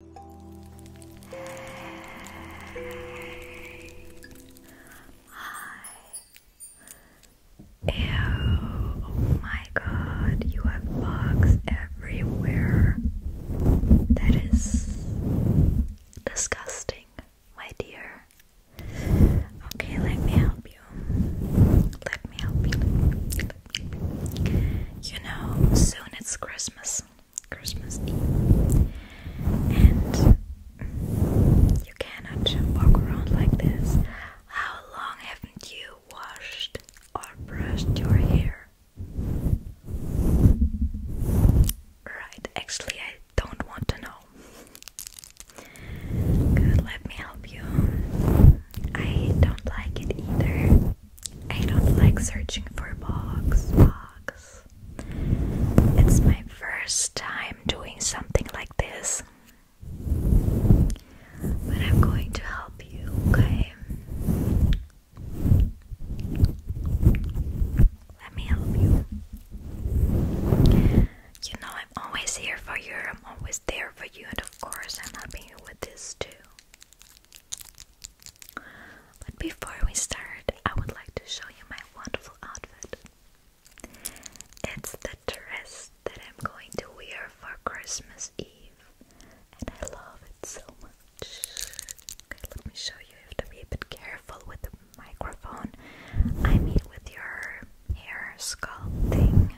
oh my god, you have bugs everywhere. That is disgusting, my dear. Okay, let me help you. Let me help you. You know, soon it's Christmas. Christmas Eve, and you cannot walk around like this. How long haven't you washed or brushed your hair? Right, actually, I don't want to know. let me help you. I don't like it either. I don't like searching for box, box. It's my first time doing something like this. But I'm going to help you, okay? Let me help you. You know, I'm always here for you, I'm always there for you, and of course, I'm helping you with this too. But before we start, I would like to show you my wonderful outfit. It's the dress that I'm going to wear for Christmas Eve, and I love it so much. let me show you. You have to be a bit careful with the microphone. I mean, with your hair sculpting.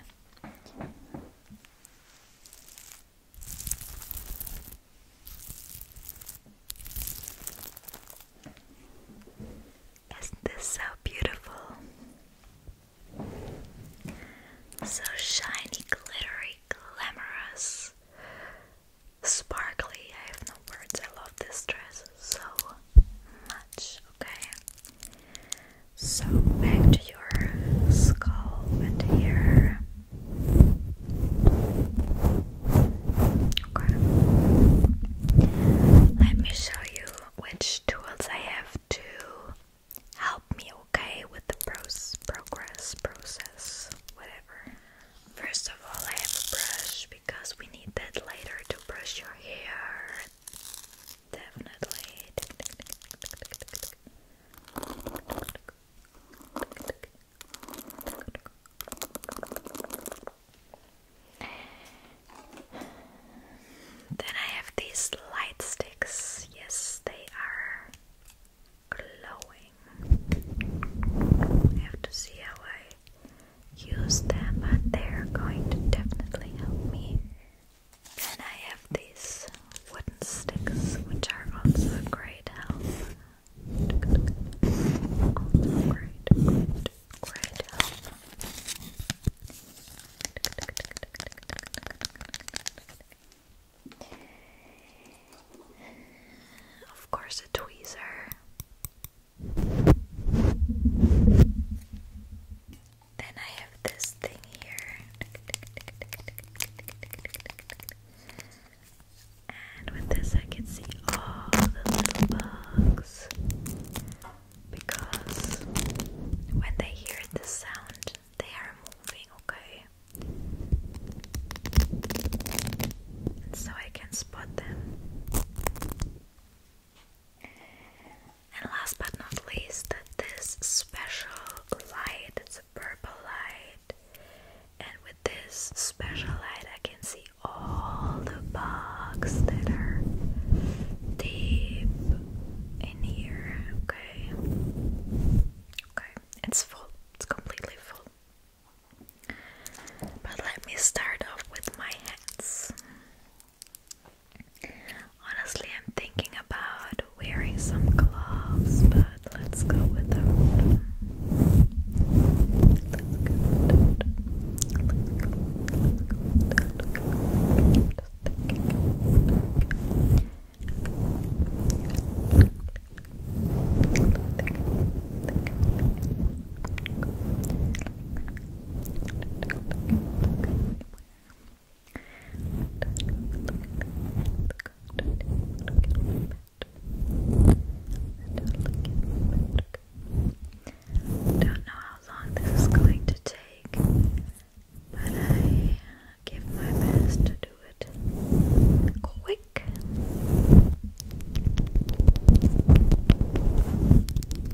Isn't this so beautiful? So shiny, glittery, glamorous, sparkly. I have no words. I love this dress so much. Okay, so back to your scalp and here. Okay. Let me show you which tools I have to help me, okay, with the pros progress process, whatever. First of all, I have a brush because we need that later to brush your hair. Definitely. Then I have these light sticks. Yes, they are glowing. I have to see how I use them, but they're going to definitely help me then I have these wooden sticks, which are also great help. great, great help. Of course, a tweezer. Then I have this thing here. And with this, I can see all the little bugs. Because when they hear the sound, they are moving, okay? so I can spot them. And last but not least, this special light. It's a purple light. And with this special light, I can see all the bugs that are deep in here. Okay. Okay, it's full. It's completely full. But let me start off with my hands. Honestly, I'm thinking about wearing some gloves, but let's go without. them. Don't know how long this is going to take, but I uh, give my best to do it quick.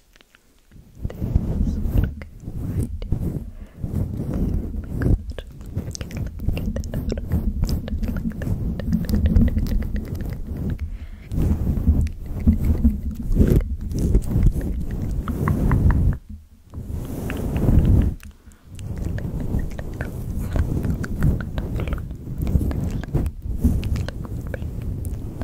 There's okay, right here. There, oh my god. Okay, let me get that out. Okay, like that.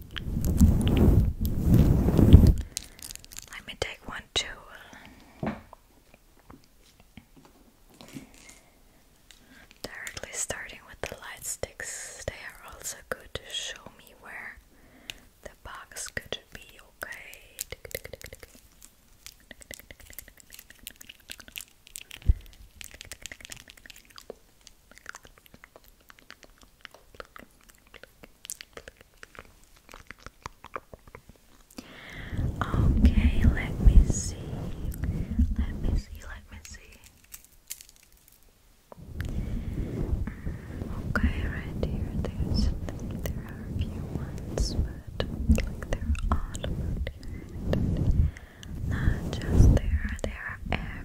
Let me take one too. Directly starting with the light sticks, they are also good to show me where the box could be Okay, Okay, let me see. Let me see, let me see. Mm, okay, right here, there's there are a few ones, but they're all about Not just there, they are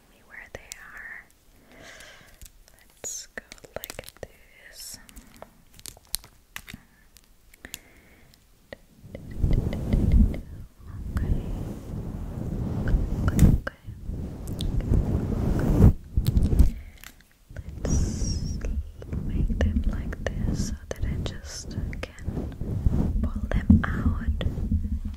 exactly where they are. Let's go like this. Okay. Okay, okay, okay. Let's make them like this so that I just can pull them out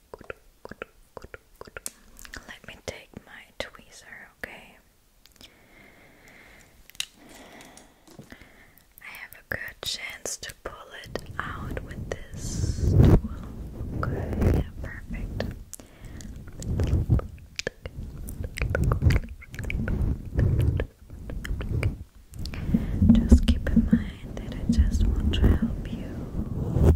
let me take my tweezer, okay? I have a good chance to pull it out with this tool. yeah, perfect. Just keep in mind that I just want to help you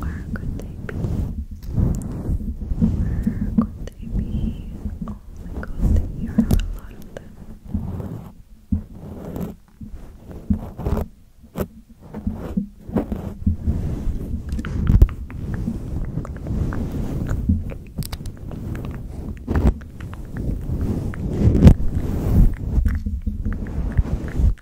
Where could they be? Where could they be? Oh my god, here are a lot of them.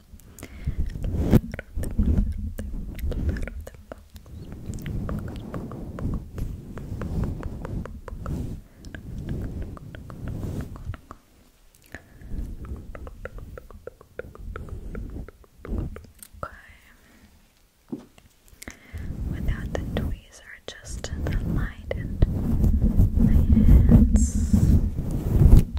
Okay. Without the tweezer, just the light and my hands.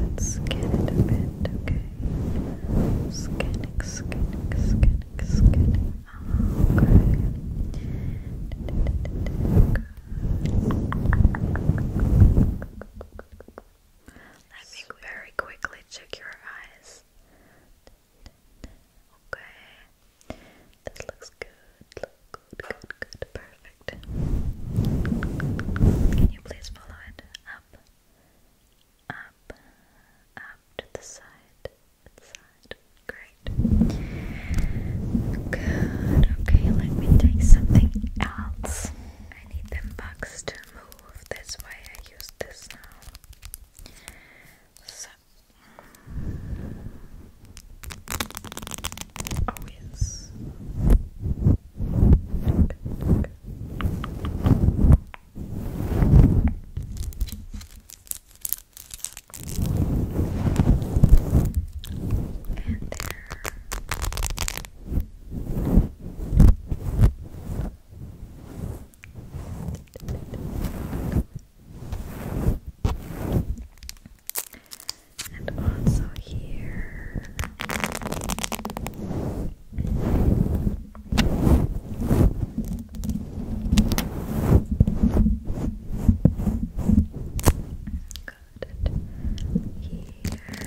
Let's scan it a bit, okay? Scanning, scanning, scanning, scanning. Okay. Let me very quickly check your eyes. Okay. This looks good. Look good, good, good. Perfect. Can you please follow it up? Up, up to the side, side. Great. Good. Okay, let me take something else. I need the box to move. That's why I use just this now. So. Oh, yes. And there. And also here. Got it. Here.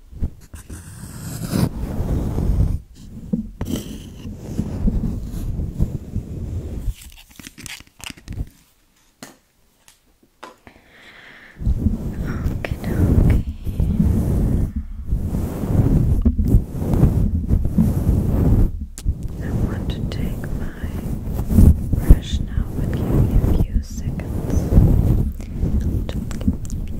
I want to take my brush now with you in a few seconds.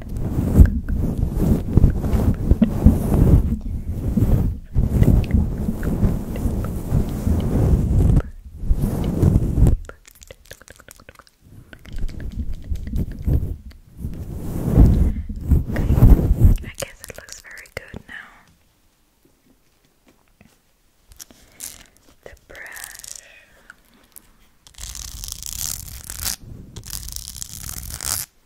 I guess it looks very good now. The brush. Okay.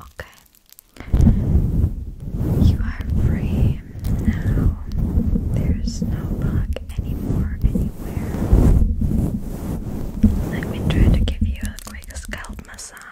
Okay. You are free now. There's no bug anymore anywhere. Let me try to give you a quick scalp massage.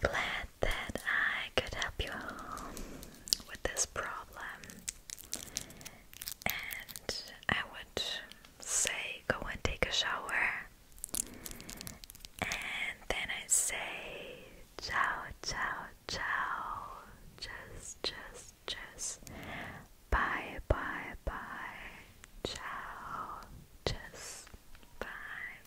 glad that I could help you with this problem. And I would say, go and take a shower. And then I say, ciao, ciao, ciao. Just, just, just. Bye, bye, bye. Ciao. Tschüss. Bye.